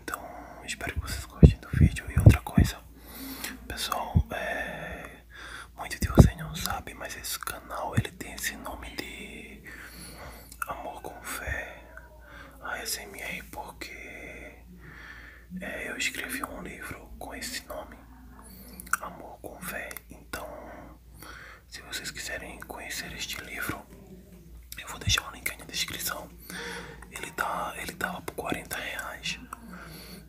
então espero que vocês gostem do vídeo E outra coisa Pessoal, é... muitos de vocês não sabem Mas esse canal ele tem esse nome de Amor com Fé ASMR porque é, eu escrevi um livro com esse nome Amor com Fé Então se vocês quiserem conhecer este livro, eu vou deixar o link aí na descrição. Ele tá, ele tava tá por 40 reais,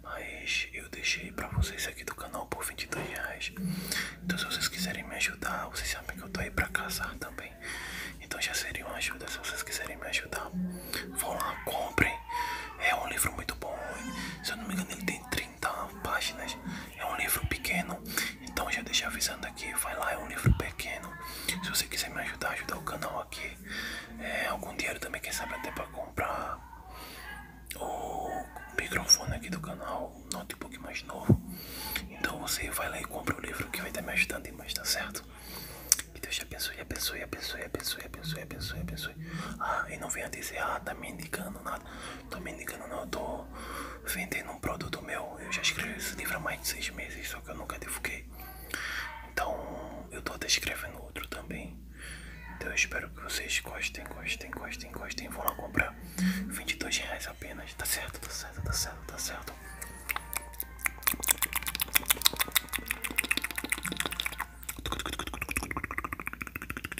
mas eu deixei para vocês aqui do canal por 22 reais. Então se vocês quiserem me ajudar, vocês sabem que eu tô aí para casar também. Então já seria uma ajuda se vocês quiserem me ajudar. Vão lá, comprem. É um livro muito bom. Se eu não me engano, ele tem 30 páginas. É um livro pequeno. Então já deixei avisando aqui, vai lá, é um livro pequeno. Se você quiser me ajudar, ajudar o canal aqui. É, algum dinheiro também, quem sabe até para comprar o microfone aqui do canal, um notebook mais novo. Então você vai lá e compra o livro que vai estar me ajudando demais, tá certo? Que Deus te abençoe, abençoe, abençoe, abençoe, abençoe, abençoe, abençoe. Ah, e não venha dizer, ah, tá me indicando nada mano. Tô me enganando, não. tô vendendo um produto meu. Eu já escrevi esse livro há mais de seis meses, só que eu nunca divulguei. Então, eu tô descrevendo outro também. Então, eu espero que vocês gostem, gostem, gostem, gostem. Vou lá comprar 22 reais apenas. Tá certo, tá certo, tá certo, tá certo.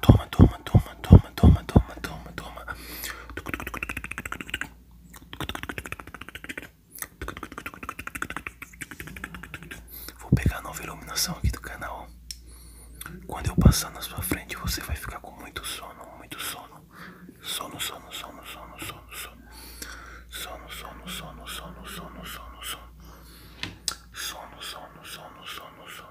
Toma, toma, toma, toma, toma, toma, toma, toma. Vou pegar a nova iluminação aqui do canal. Quando eu passar na sua frente, você vai ficar com muito sono, muito sono. Sono, sono, sono, sono, sono, sono. Sono, sono, sono, sono, sono, sono, sono. Sono, sono, sono, sono, sono.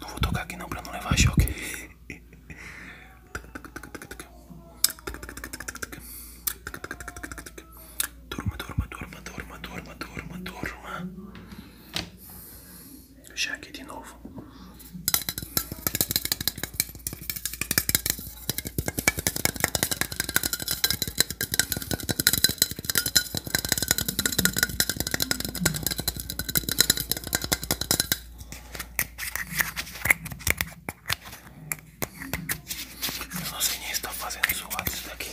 Não vou tocar aqui não pra não levar choque. Durma, durma, durma, durma, durma, durma, durma. Já aqui de novo. Eu não sei nem se tá fazendo zoado isso daqui.